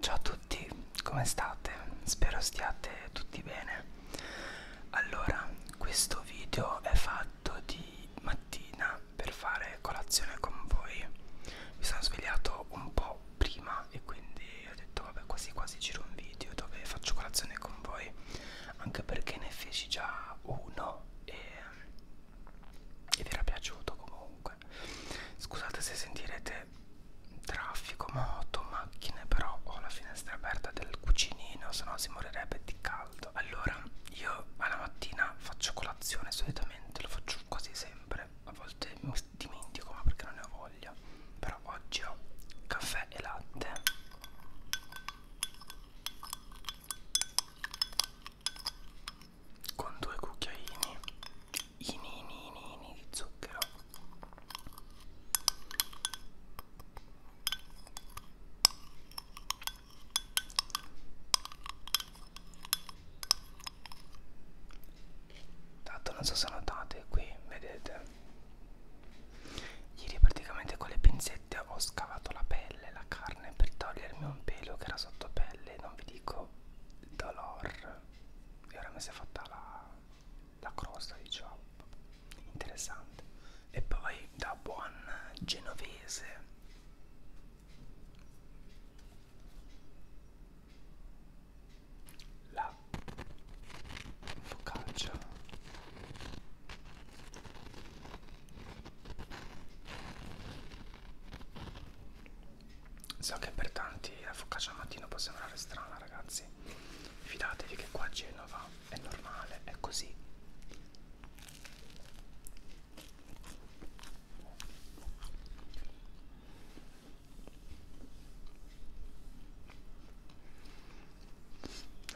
Ciao a tutti, come state? Spero stiate tutti bene. Allora, questo video è fatto di mattina per fare colazione con voi. Mi sono svegliato un po' prima città e quindi ho detto vabbè quasi quasi giro un video dove faccio colazione con voi anche perché ne feci già uno e, e vi era piaciuto comunque scusate se sentirete traffico moto macchine però ho la finestra aperta del cucinino se no si morirebbe di caldo allora io alla mattina faccio colazione solitamente lo faccio quasi sempre a volte mi dimentico ma perché non ne ho voglia voglia però oggi ho caffè e latte con due cucchiaini ini, ini, ini, ini di zucchero Tanto non so se notate qui, vedete Ieri praticamente con le pinzette ho scavato la pelle, la carne per togliermi un pelo che era sotto pelle, non vi dico il dolore. E ora mi si è fatta la, la crosta, diciamo. Interessante. E poi da buon genovese la focaccia so che per tanti la focaccia al mattino può sembrare strana ragazzi fidatevi che qua a Genova è normale è così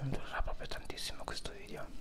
non durerà proprio tantissimo questo video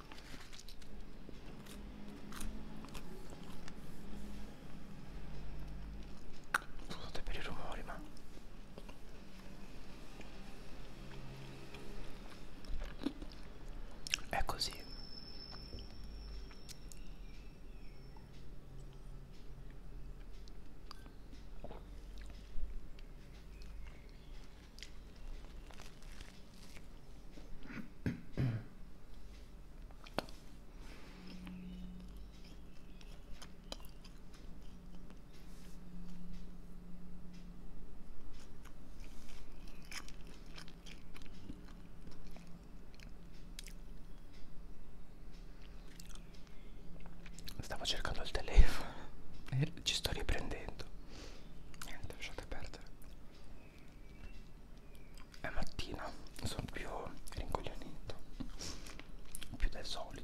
Scusate per i rumori ma è così Stavo cercando il telefono e ci sto riprendendo. Niente, lasciate perdere. È mattina, sono più rincoglionito, più del solito.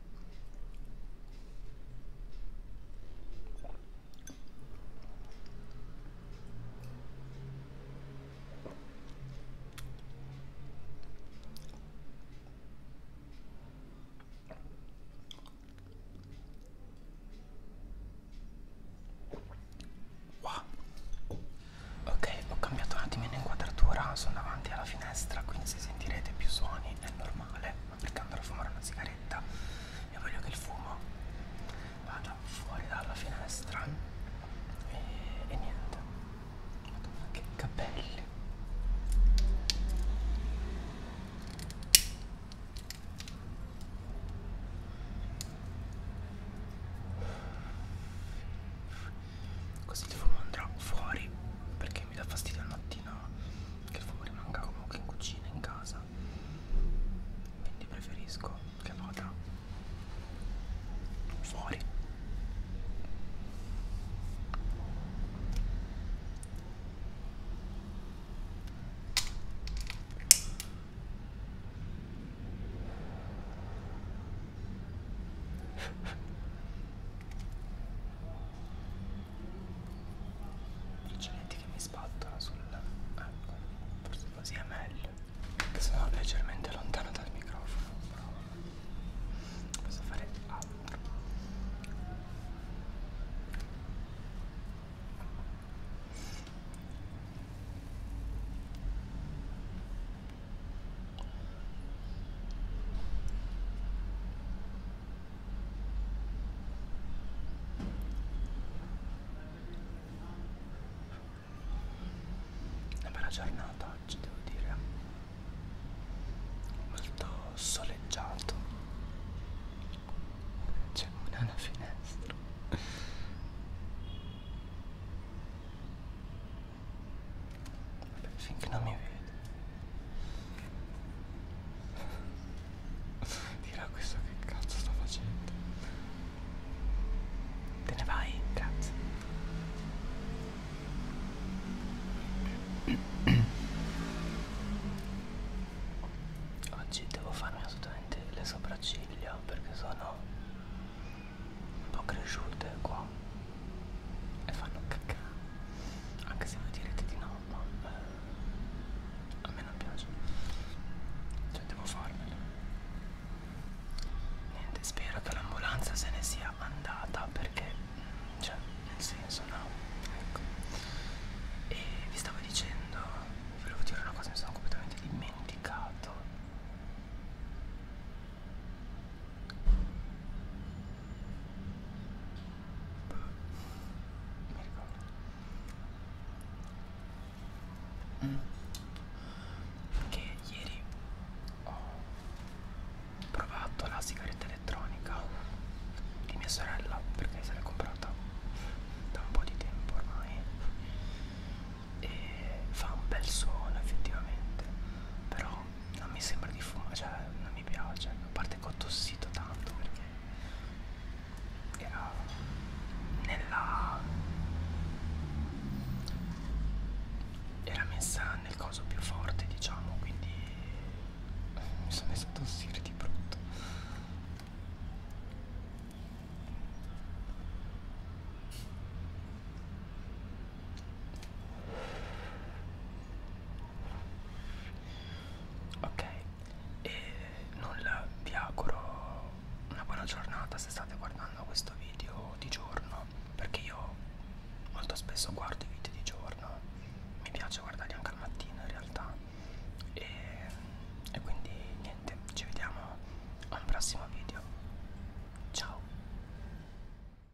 Wow. Ok, ho cambiato un attimino inquadratura, sono davanti alla finestra, quindi se sentirete più suoni è normale perché andrò a fumare una sigaretta e voglio che il fumo vada fuori dalla finestra e, e niente Madonna, che capelli Così il fumo andrà fuori perché mi dà fastidio al mattino che il fumo rimanga comunque in cucina, in casa quindi preferisco che vada fuori Braccialetti che mi spattola sul... ecco, forse così è meglio Che sono leggermente lontano dal microfono però Posso fare altro una bella giornata oggi devo dire, molto soleggiato, c'è una alla finestra. Finché non mi vede. Dirà questo che cazzo sto facendo. Te ne vai, cazzo. Oggi devo farmi assolutamente le sopracciglia perché sono un po' cresciute qua e fanno cacca anche se voi direte di no ma eh, a me non piace cioè devo farmelo niente spero che l'ambulanza se ne sia andata perché mm, cioè nel senso no ecco e vi stavo dicendo volevo dire una cosa mi sono completamente dimenticato Mm. Che ieri ho provato la sigaretta elettronica di mia sorella perché se l'è comprata da un po' di tempo ormai e fa un bel suono effettivamente però non mi sembra di fumare, cioè non mi piace, a parte che ho tossito tanto perché era nella era messa nel coso più forte diciamo quindi mi sono messo a tossire di brutto ok e nulla vi auguro una buona giornata se state guardando questo video di giorno perché io molto spesso guardo i video di giorno mi piace guardarli anche al mattino in realtà e, e quindi niente ci vediamo a un prossimo video ciao